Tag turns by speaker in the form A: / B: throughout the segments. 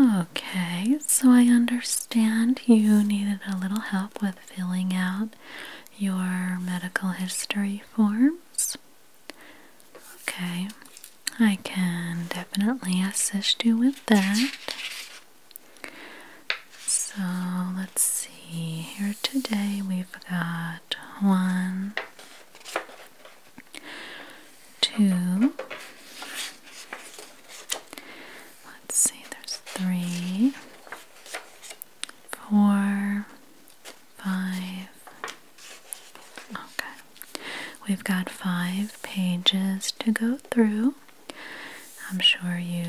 A: Okay, so I understand you needed a little help with filling out your medical history forms. Okay, I can definitely assist you with that. So let's see, here today we've got one, two, let's see, there's three, four, five. Okay, we've got five pages to go through. I'm sure you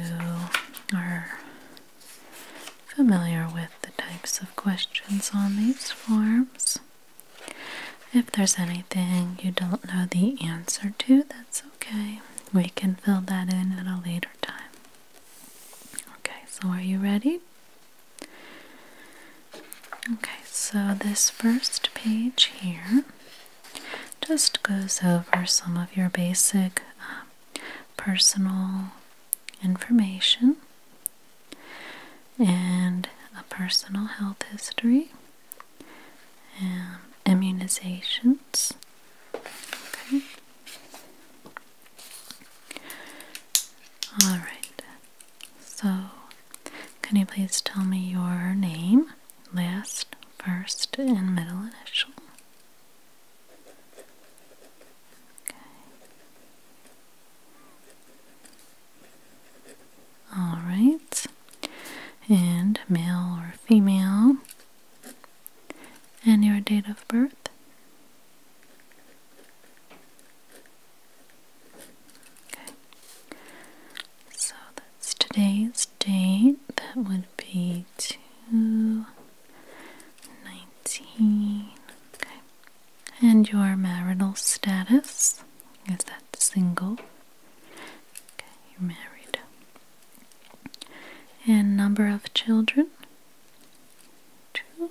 A: are familiar with the types of questions on these forms. If there's anything you don't know the answer to, that's okay. We can fill that in at a later time. Okay, so are you ready? Okay, so this first page here just goes over some of your basic um, personal information and a personal health history and immunizations. Okay. All right. So, can you please tell me your name, last, first, and middle initial? Okay. All right. And male or female. And your date of birth? Okay. So that's today's date. That would be 219. Okay. And your marital status is that single? Okay, you're married. And number of children? Two.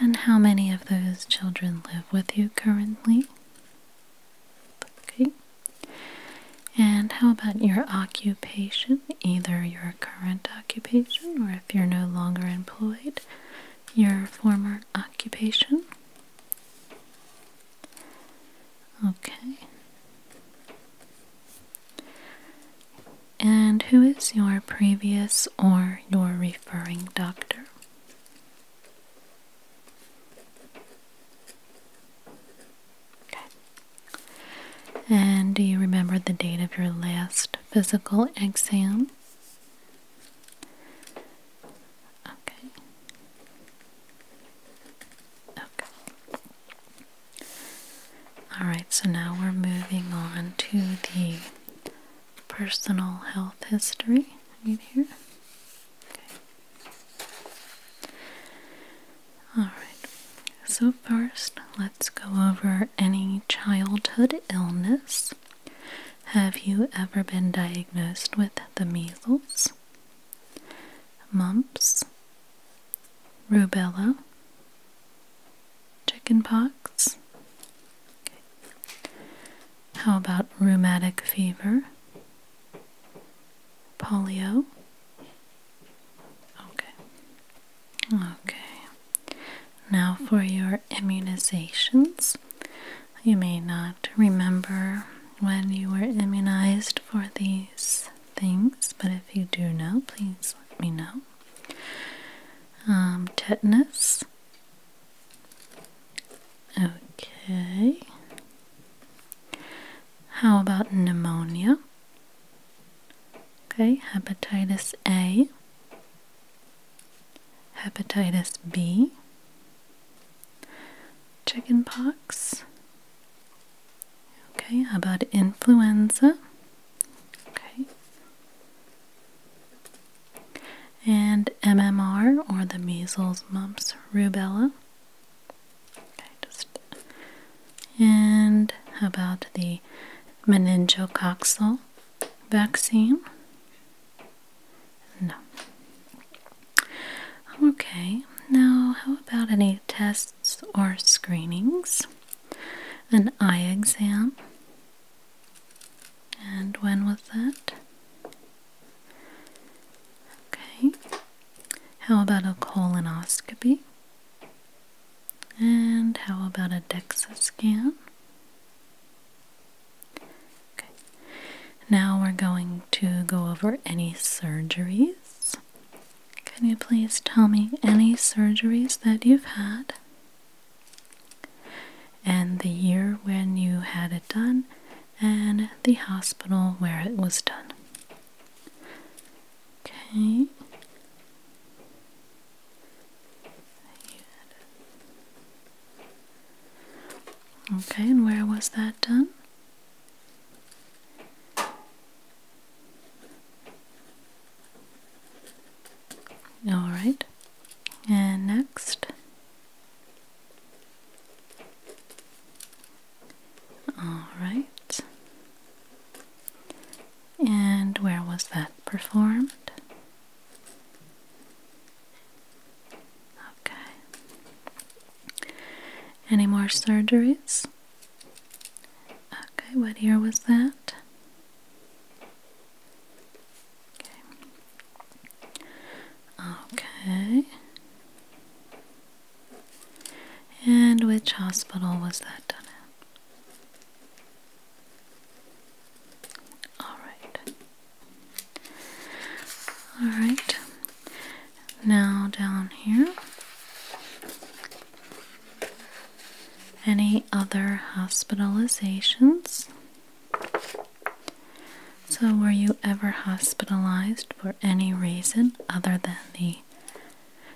A: And how many of those children live with you currently? Okay. And how about your occupation? Either your current occupation or if you're no longer employed, your former occupation. Okay. And who is your previous or your referring doctor? Okay. And do you remember the date of your last physical exam. Okay. Okay. All right, so now we're moving on to the personal health history right here. Okay. All right. So first, let's go over any childhood illness. Have you ever been diagnosed with the measles, mumps, rubella, chickenpox? Okay. How about rheumatic fever, polio? Okay. Okay, now for your immunizations. You may not remember when you were immunized for these things, but if you do know, please let me know. Um, tetanus. Okay. How about pneumonia? Okay, hepatitis A, hepatitis B, chickenpox. Okay, about influenza? Okay. And MMR or the measles, mumps, rubella. Okay, and how about the meningococcal vaccine? No. Okay, now how about any tests or screenings? An eye exam? And when was that? Okay. How about a colonoscopy? And how about a DEXA scan? Okay. Now we're going to go over any surgeries. Can you please tell me any surgeries that you've had? And the year when you had it done, and the hospital where it was done. Okay. Okay, and where was that done? All right, and next. All right, and where was that performed? Okay. Any more surgeries? Okay, what year was that? Okay. Okay. And which hospital was that done at? Alright. Alright. Now down here. Any other hospitalizations? So, were you ever hospitalized for any reason other than the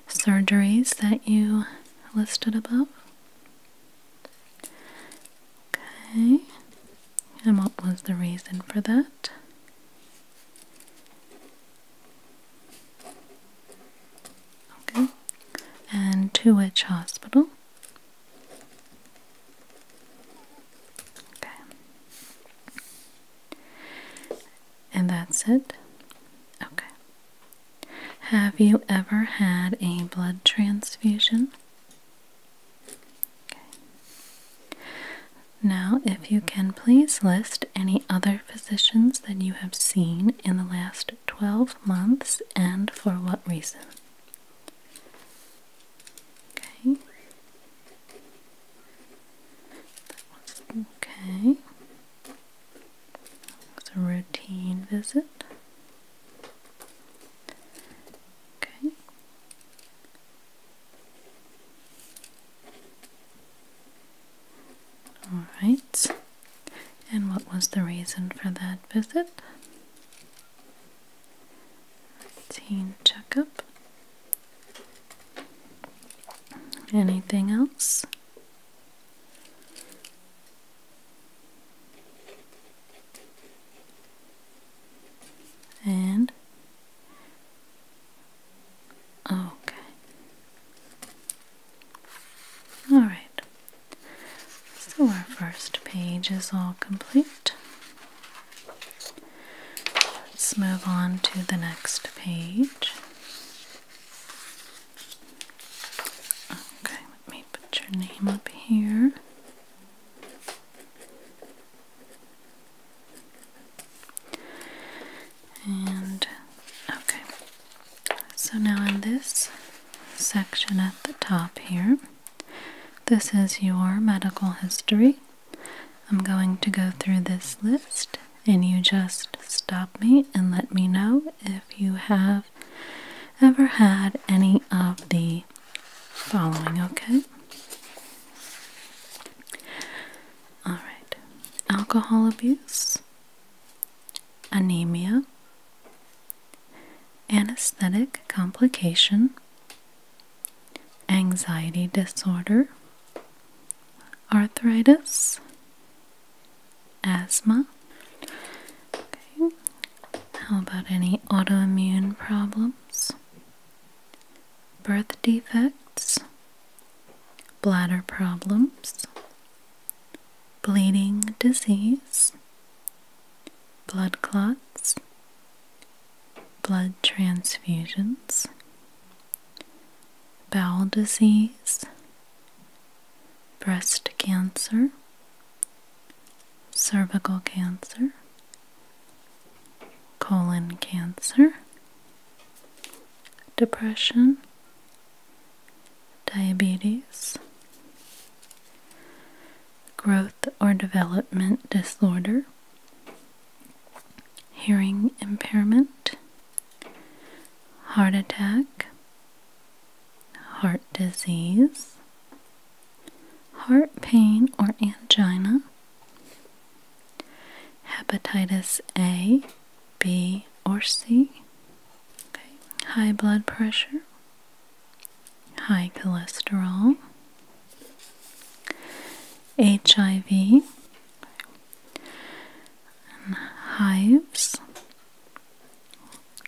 A: surgeries that you listed above? Okay, and what was the reason for that? Okay, and to which hospital? Okay, and that's it. Okay, have you ever had a blood transfusion? Okay. Now, if you can please list any other physicians that you have seen in the last 12 months and for what reason? Okay. okay. It's a routine visit. Okay. All right. And what was the reason for that visit? Routine checkup. Anything else? and okay. All right, so our first page is all complete. Let's move on to the next page. Okay, let me put your name up here. And okay, so now in this section at the top here, this is your medical history. I'm going to go through this list, and you just stop me and let me know if if you have ever had any of the following, okay? Alright, alcohol abuse, anemia, anesthetic complication, anxiety disorder, arthritis, asthma. Okay. How about any autoimmune problems? Birth defects, bladder problems, bleeding disease, blood clots, blood transfusions, bowel disease, breast cancer, cervical cancer, colon cancer, depression, diabetes, growth or development disorder, hearing impairment, heart attack, heart disease, heart pain or angina, hepatitis A, B, or C, high blood pressure, high cholesterol, HIV, hives,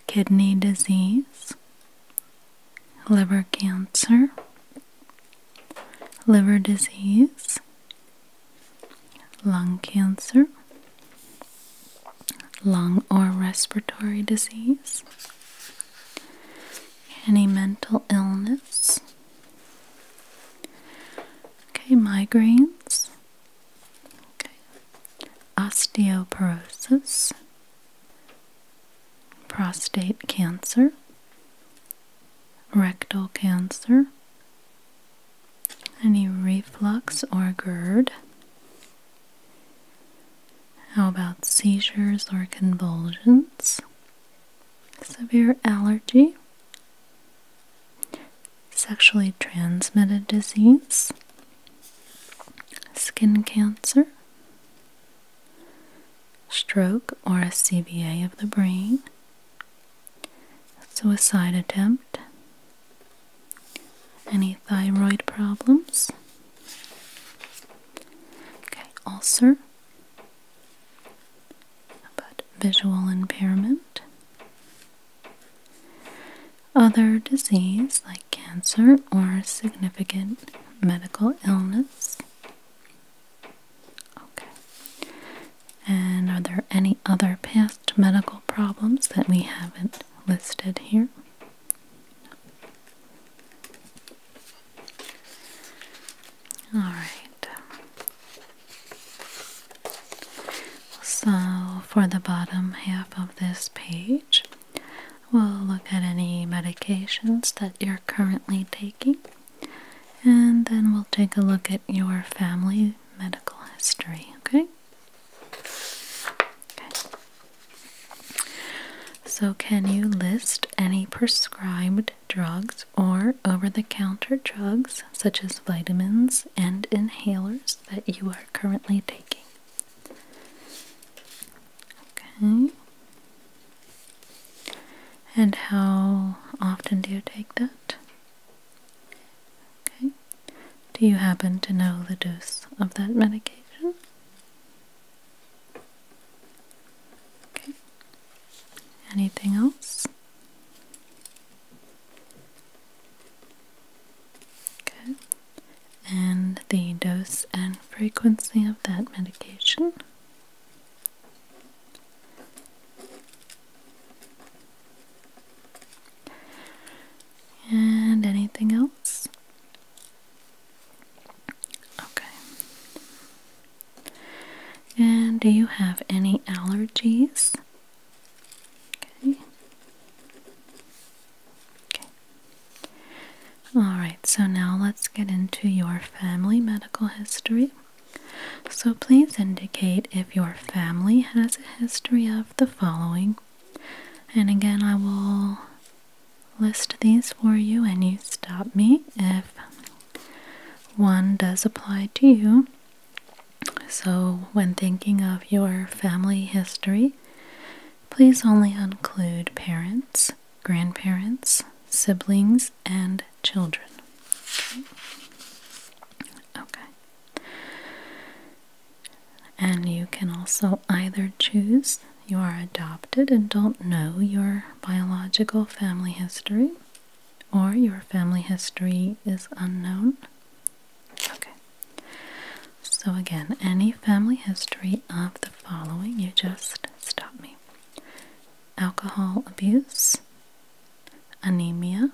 A: kidney disease, liver cancer, liver disease, lung cancer, lung or respiratory disease, any mental illness. Okay, migraines, Osteoporosis, prostate cancer, rectal cancer, any reflux or GERD. How about seizures or convulsions? Severe allergy, sexually transmitted disease, skin cancer, stroke or a CVA of the brain, suicide attempt, any thyroid problems, ulcer, but visual impairment, other disease like cancer or significant medical illness. Okay. And are there any other past medical problems that we haven't listed here? All right. So, for the bottom half of this page, we'll look at any medications that you're currently taking, and then we'll take a look at your family medical history, okay? Okay. So, can you list any prescribed drugs or over the counter drugs such as vitamins and inhalers that you are currently taking. Okay. And how often do you take that? Okay. Do you happen to know the dose of that medication? Okay. Anything else? Okay. And the dose and frequency of that medication. And anything else? Okay. And do you have any allergies Okay. Okay. Alright, so now let's get into your family medical history. So please indicate if your family has a history of the following. And again, I will list these for you and you stop me if one does apply to you. So, when thinking of your family history, please only include parents, grandparents, siblings, and children. Okay. And you can also either choose you are adopted and don't know your biological family history, or your family history is unknown Okay. So again, any family history of the following, you just stop me. Alcohol abuse, anemia,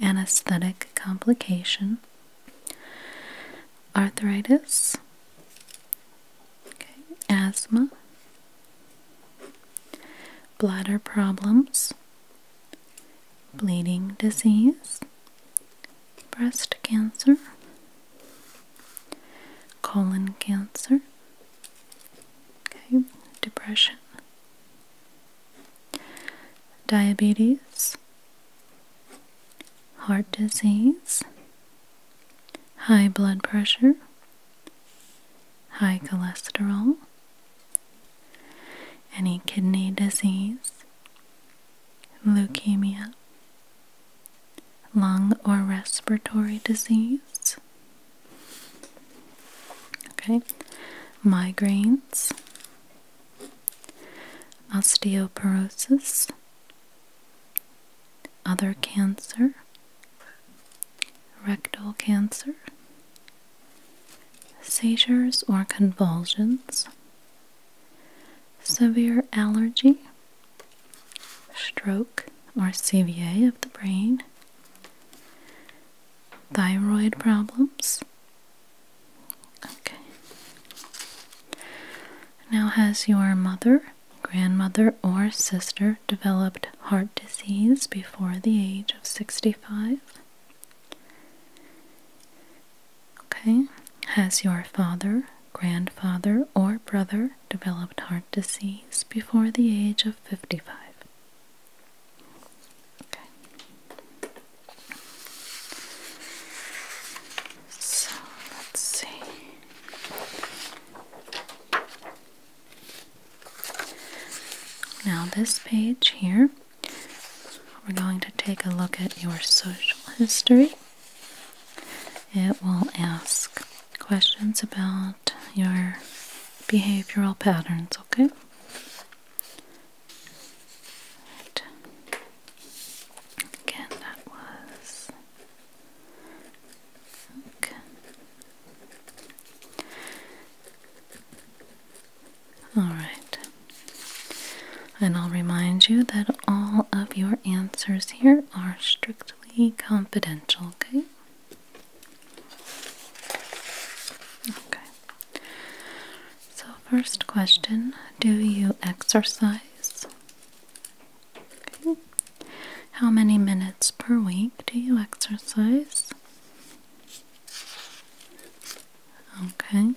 A: anesthetic complication, arthritis, okay, asthma, bladder problems, bleeding disease, breast cancer, colon cancer, okay, depression, diabetes, heart disease, high blood pressure, high cholesterol, any kidney disease, leukemia, lung or respiratory disease, okay, migraines, osteoporosis, other cancer, rectal cancer, seizures or convulsions, severe allergy, stroke or CVA of the brain, thyroid problems. Okay. Now, has your mother, grandmother, or sister developed heart disease before the age of 65. Okay, has your father, grandfather, or brother developed heart disease before the age of 55? Okay. So let's see. Now, this page here, we're going to take a look at your social history. It will ask questions about your behavioral patterns, okay? Again, that was. Okay. Alright. And I'll remind you that all of your answers here are strictly confidential, okay? Okay. So, first question Do you exercise? How many minutes per week do you exercise? Okay.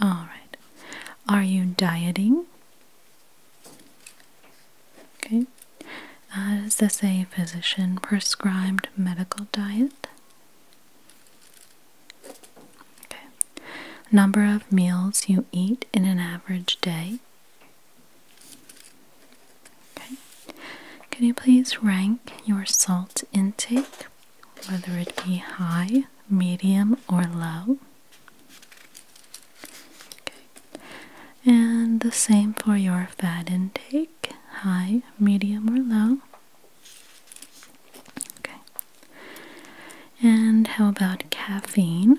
A: All right. Are you dieting? Okay. Uh, is this a physician prescribed medical diet? Okay. Number of meals you eat in an average day. Okay. Can you please rank your salt intake, whether it be high, medium, or low? Okay. And the same for your fat intake, high, medium, or low. Okay. And how about caffeine?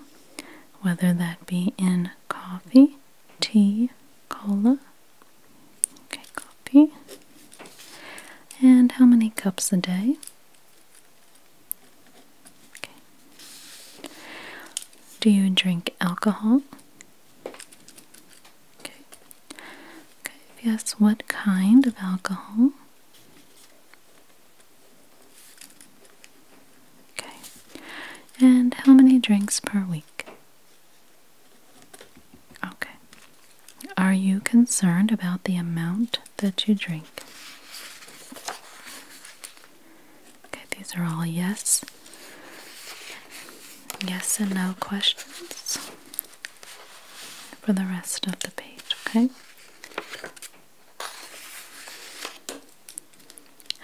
A: Whether that be in coffee, tea, cola. Okay, coffee. And how many cups a day? Okay. Do you drink alcohol? Okay. Okay, yes, what kind of alcohol? Okay. And how many drinks per week? Okay. Are you concerned about the amount that you drink? Okay, these are all yes. Yes and no questions for the rest of the page, okay?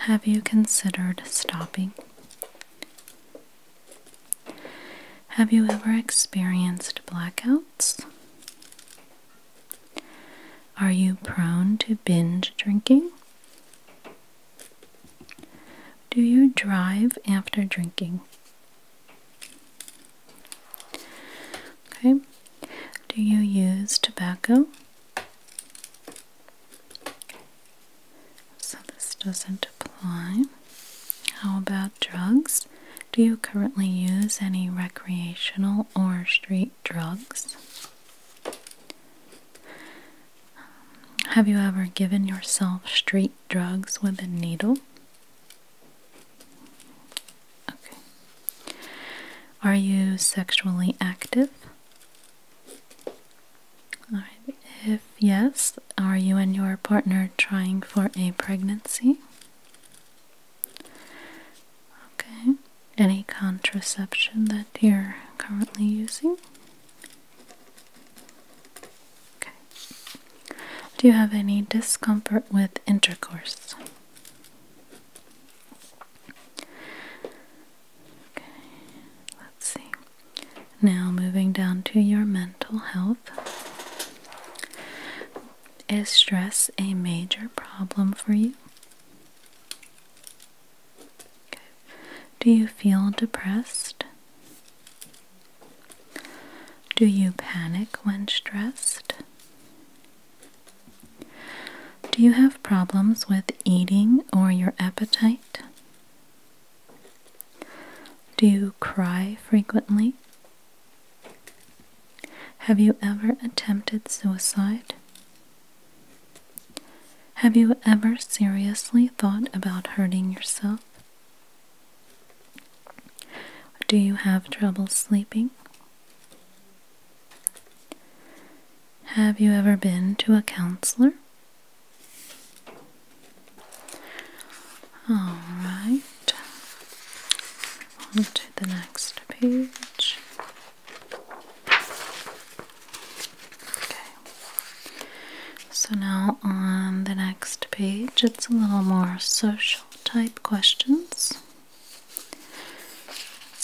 A: Have you considered stopping? Have you ever experienced blackouts? Are you prone to binge drinking? Do you drive after drinking? Okay. Do you use tobacco? So this doesn't apply. How about drugs? Do you currently use any recreational or street drugs? Have you ever given yourself street drugs with a needle? Okay. Are you sexually active? If yes, are you and your partner trying for a pregnancy? Okay. Any contraception that you're currently using? Okay. Do you have any discomfort with intercourse? Okay, let's see. Now, moving down to your mental health. Is stress a major problem for you? Do you feel depressed? Do you panic when stressed? Do you have problems with eating or your appetite? Do you cry frequently? Have you ever attempted suicide? Have you ever seriously thought about hurting yourself? Do you have trouble sleeping have you ever been to a counselor? All right. On to the next page. Okay. So now on the next page, it's a little more social type questions.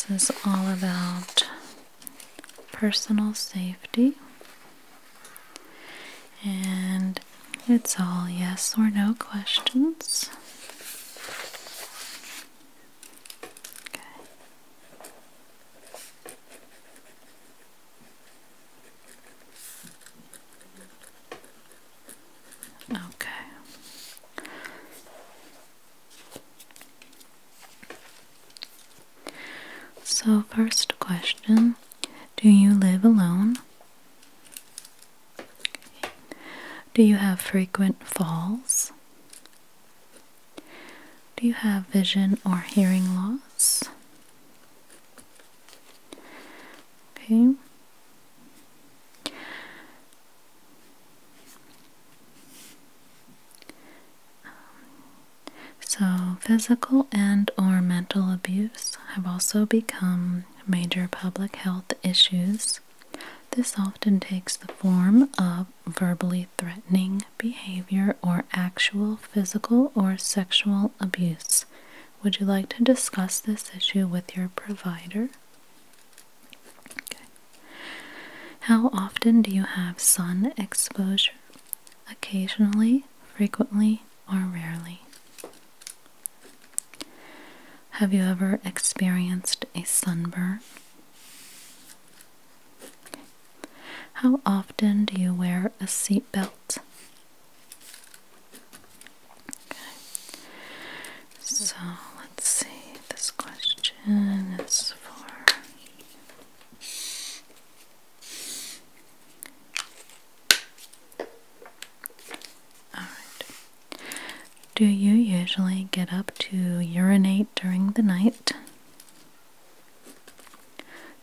A: This is all about personal safety. And it's all yes or no questions. Okay. So, first question Do you live alone? Do you have frequent falls? Do you have vision or hearing loss? Okay so, physical and or mental abuse have also become major public health issues. This often takes the form of verbally threatening behavior or actual physical or sexual abuse. Would you like to discuss this issue with your provider? How often do you have sun exposure? Occasionally, frequently, or rarely? Have you ever experienced a sunburn? How often do you wear a seatbelt? Okay. So let's see. This question is for Alright. Do you usually get up to urinate during the night?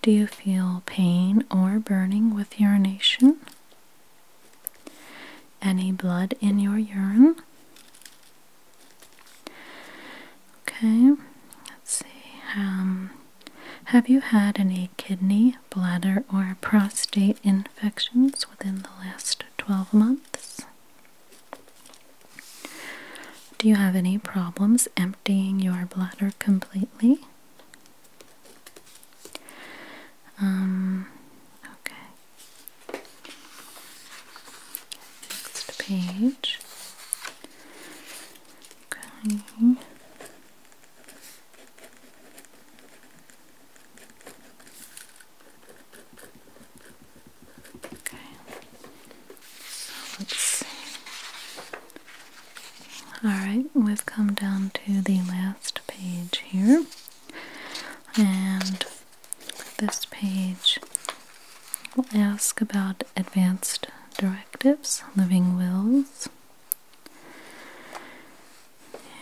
A: Do you feel pain or burning with urination? Any blood in your urine? Okay, let's see. Um, have you had any kidney, bladder, or prostate infections within the last 12 months? Do you have any problems emptying your bladder completely? Um, okay, Next page. Okay. Okay. So let's see. All right, we've come down to the last page here. And this page will ask about advanced directives, living wills,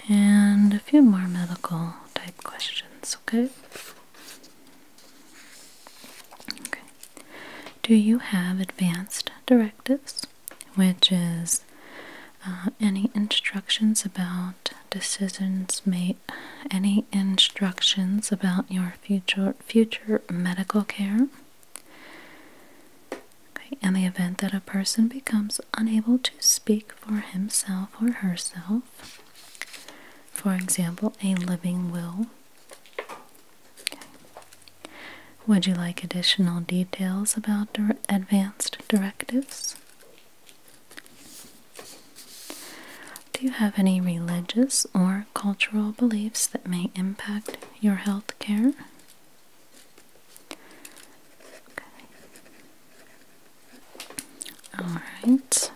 A: and a few more medical type questions, okay? Okay. Do you have advanced directives, which is uh, any instructions about decisions made, any instructions about your future future medical care. Okay, in the event that a person becomes unable to speak for himself or herself, for example, a living will. Would you like additional details about advanced directives? Do you have any religious or cultural beliefs that may impact your health care? All right.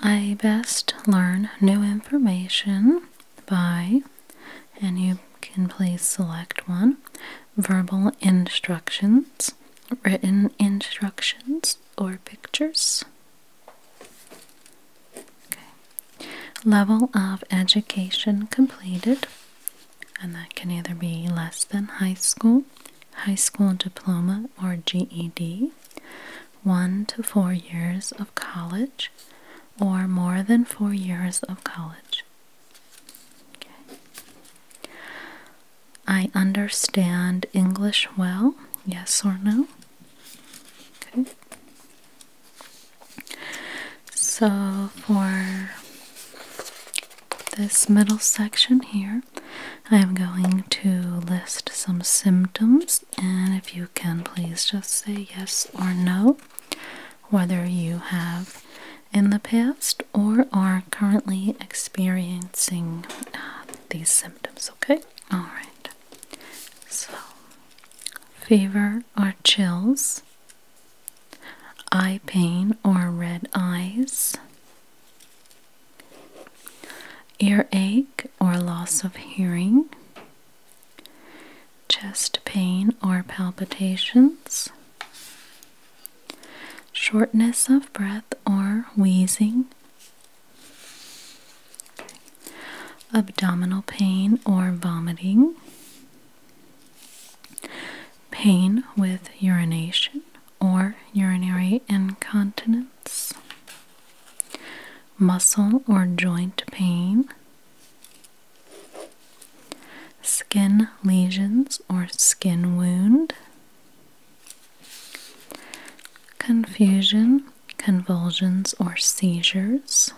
A: I best learn new information by, and you can please select one verbal instructions, written instructions, or pictures. Level of education completed, and that can either be less than high school, high school diploma, or GED, one to four years of college, or more than four years of college. I understand English well, yes or no? Okay. So for this middle section here, I'm going to list some symptoms, and if you can please just say yes or no whether you have in the past or are currently experiencing uh, these symptoms, okay? Alright. So, fever or chills, eye pain or red eyes, earache or loss of hearing, chest pain or palpitations shortness of breath or wheezing, abdominal pain or vomiting, pain with urination or urinary incontinence, muscle or joint pain skin lesions or skin wound, confusion, convulsions, or seizures,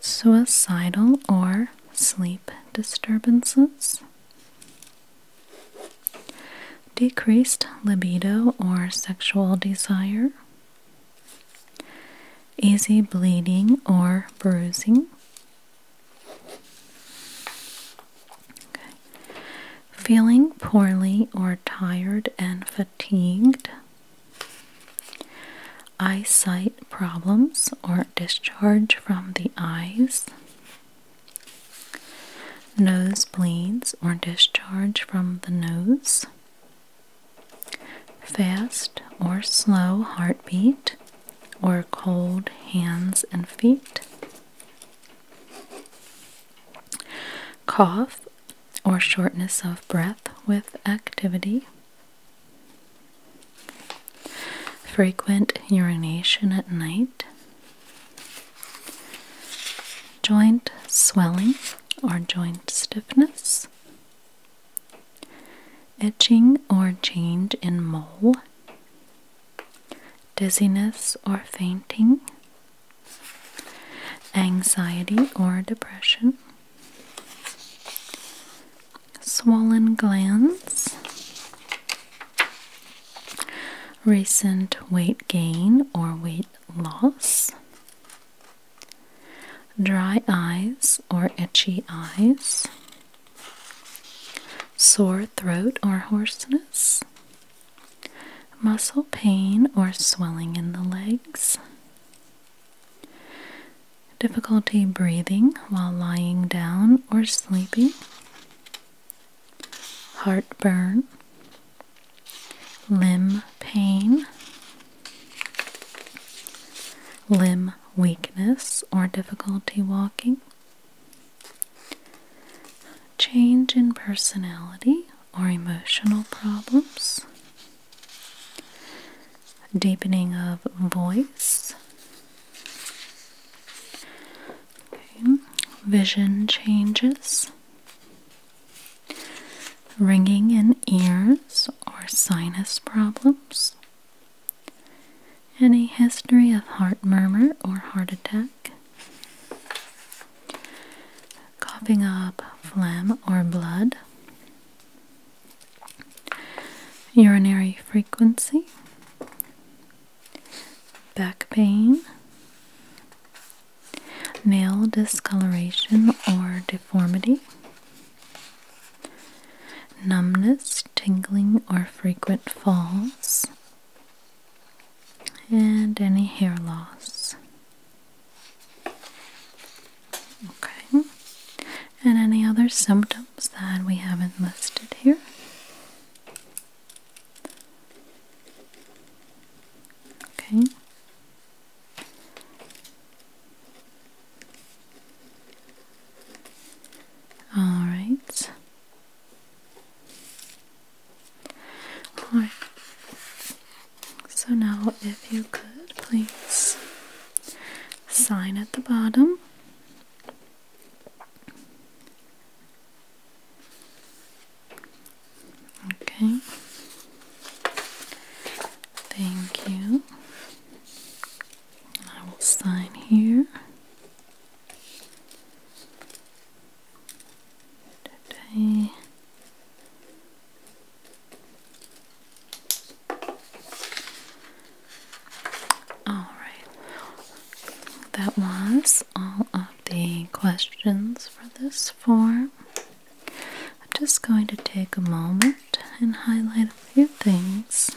A: suicidal or sleep disturbances. Decreased libido or sexual desire, easy bleeding or bruising, Feeling poorly or tired and fatigued. Eyesight problems or discharge from the eyes. Nosebleeds or discharge from the nose. Fast or slow heartbeat or cold hands and feet, cough or shortness of breath with activity, frequent urination at night, joint swelling or joint stiffness. Itching or change in mole, dizziness or fainting, anxiety or depression, swollen glands, recent weight gain or weight loss, dry eyes or itchy eyes sore throat or hoarseness, muscle pain or swelling in the legs, difficulty breathing while lying down or sleeping, heartburn, limb pain, limb weakness or difficulty walking. Change in personality or emotional problems. Deepening of voice. Vision changes. Ringing in ears or sinus problems. Any history of heart murmur or heart attack, coughing up phlegm or blood, urinary frequency, back pain, nail discoloration or deformity numbness, tingling, or frequent falls, and any hair loss. Okay, and any other symptoms that we haven't listed here? Okay. All right. All right. So now, if you could please sign at the bottom. Okay. Thank you. I will sign here. Today. All right. That was all of the questions for this form. I'm just going to take a moment and highlight a few things.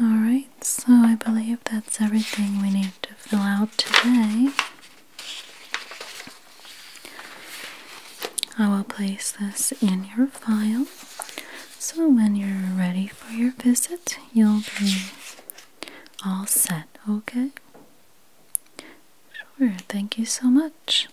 A: Alright, so I believe that's everything we need to fill out today. I will place this in your file so when you're ready for your visit, you'll be all set, okay? Sure, thank you so much.